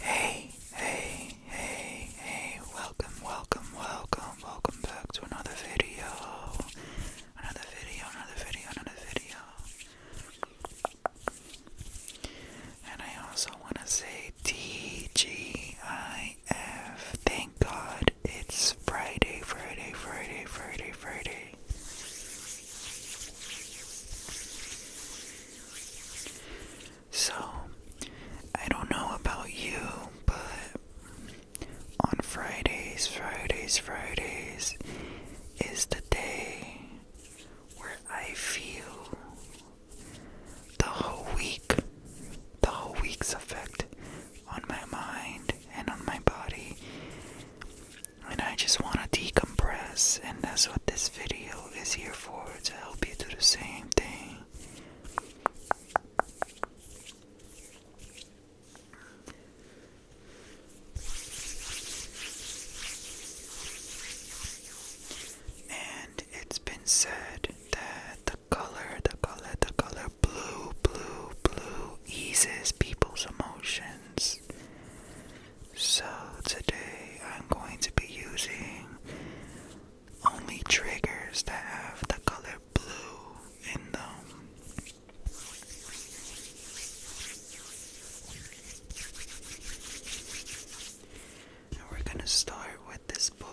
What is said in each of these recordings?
Hey, hey, hey, hey, welcome, welcome, welcome, welcome back to another video. Another video, another video, another video. And I also want to say TGIF. Thank God it's Friday, Friday, Friday, Friday, Friday. So, I don't know about you, but on Fridays, Fridays, Fridays is the day where I feel the whole week, the whole week's effect on my mind and on my body and I just want to decompress, and that's what this video is here for to help you do the same thing. And it's been said that the color, the color, the color blue, blue, blue eases people's emotions. So today I'm going to be using only triggers that have the color blue in them. And we're going to start with this book.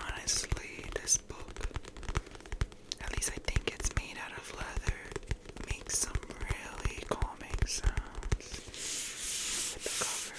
Honestly, this book, at least I think it's made out of leather, makes some really calming sounds with the cover.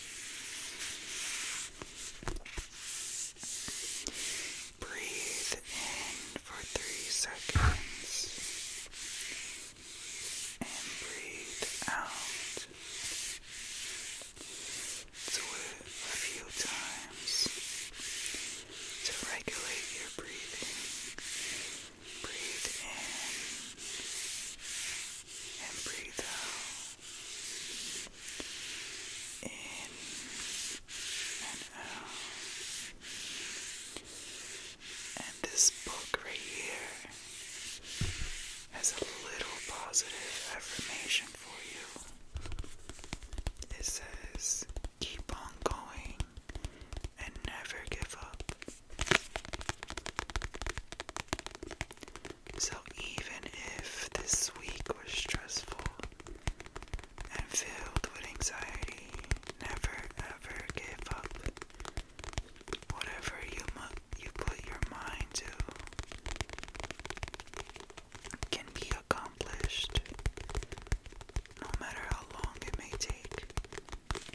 Breathe in for three seconds and breathe out. Do a few times to regulate your breathing Breathe in and breathe out. In and out. And this book right here has a little positive affirmation for you. It says, Keep on going and never give up. So, even if this week was stressful and filled with anxiety, never ever give up. Whatever you, you put your mind to can be accomplished no matter how long it may take.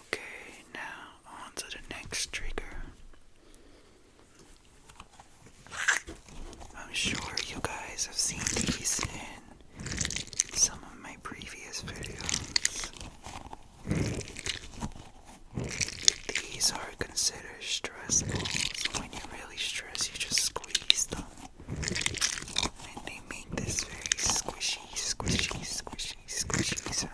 Okay, now on to the next trigger. I'm sure you guys have seen these in some of my previous videos. These are considered stress balls. When you really stress, you just squeeze them and they make this very squishy, squishy, squishy, squishy sound.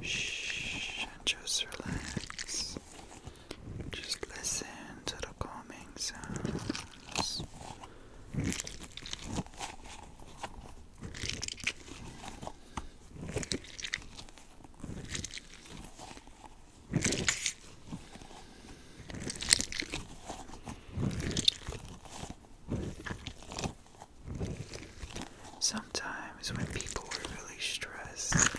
Shh, just relax. Just listen to the calming sounds. Sometimes when people are really stressed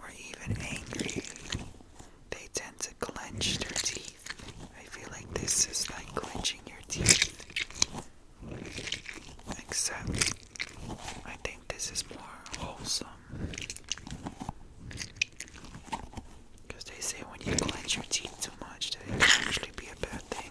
or even angry, they tend to clench their teeth. I feel like this is like clenching your teeth. Except, I think this is more wholesome. Because they say when you clench your teeth too much, that it can actually be a bad thing.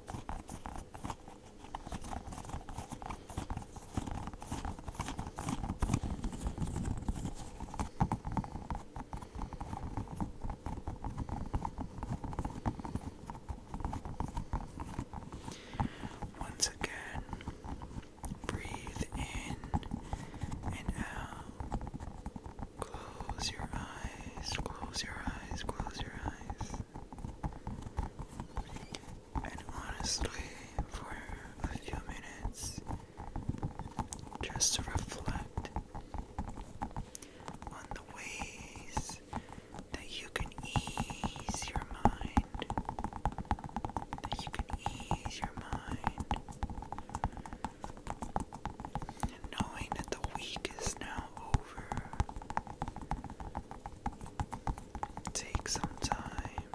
Once again, breathe in and out. Close your eyes, close your eyes, close your eyes. And honestly, for a few minutes, just to reflect on the ways that you can ease your mind, that you can ease your mind and knowing that the week is now over. Take some time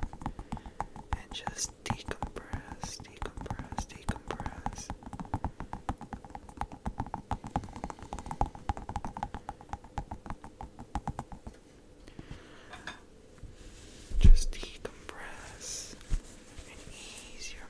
and just decompress, decompress, decompress. Just decompress and ease your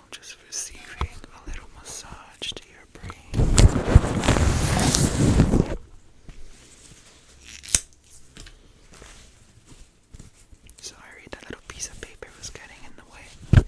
just receiving a little massage to your brain. Sorry, that little piece of paper was getting in the way.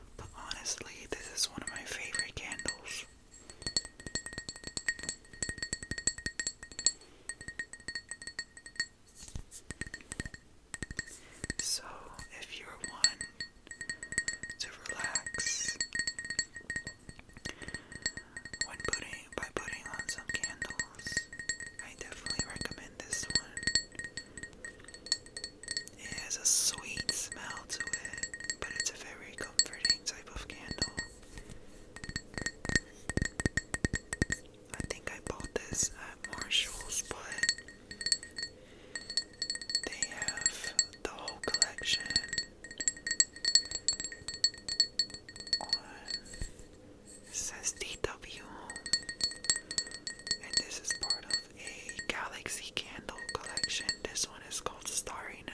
But honestly, this is one of my favorite candles. So, if you're one to relax when putting by putting on some candles, I definitely recommend this one. It has a sweet smell to it, but it's a very comforting type of candle. I think I bought this at Marshall's, but they have the whole collection says DW and this is part of a Galaxy Candle collection. This one is called Starry Night.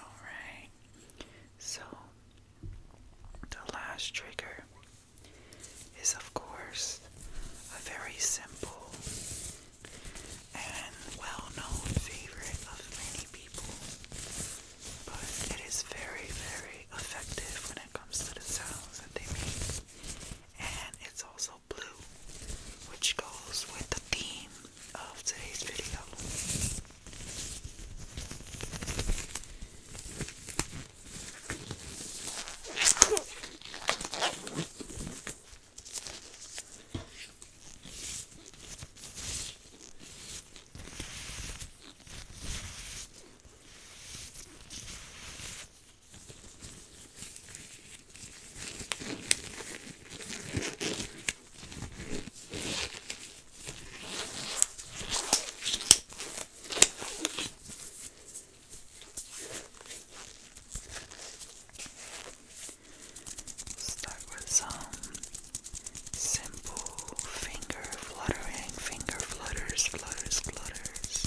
Alright, so the last trigger is, of course, a very simple and well known favorite of many people but it is very, very effective when it comes to the sounds that they make. And it's also blue, which goes with the theme of today's video. Start with some Simple finger fluttering, finger flutters, flutters, flutters.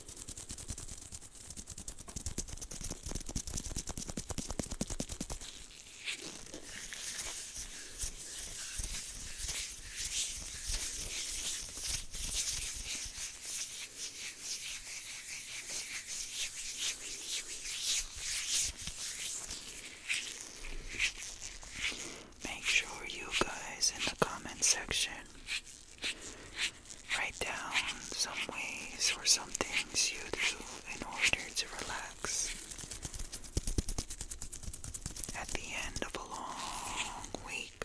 Make sure you guys in the comment section Write down some ways or some things you do in order to relax. At the end of a long week,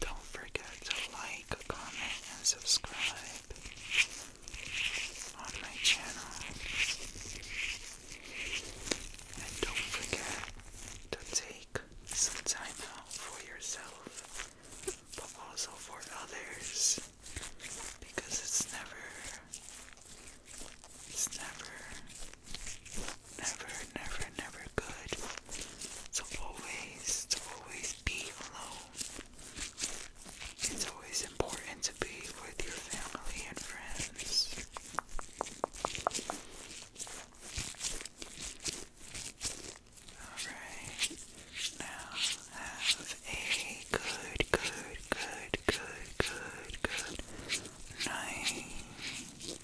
Don't forget to like, comment, and subscribe on my channel. And don't forget to take some time out for yourself, but also for others, because it's never, it's never never, never, never good to always, to always be alone. It's always important to be with your family and friends. Alright, now have a good, good, good, good, good, good night.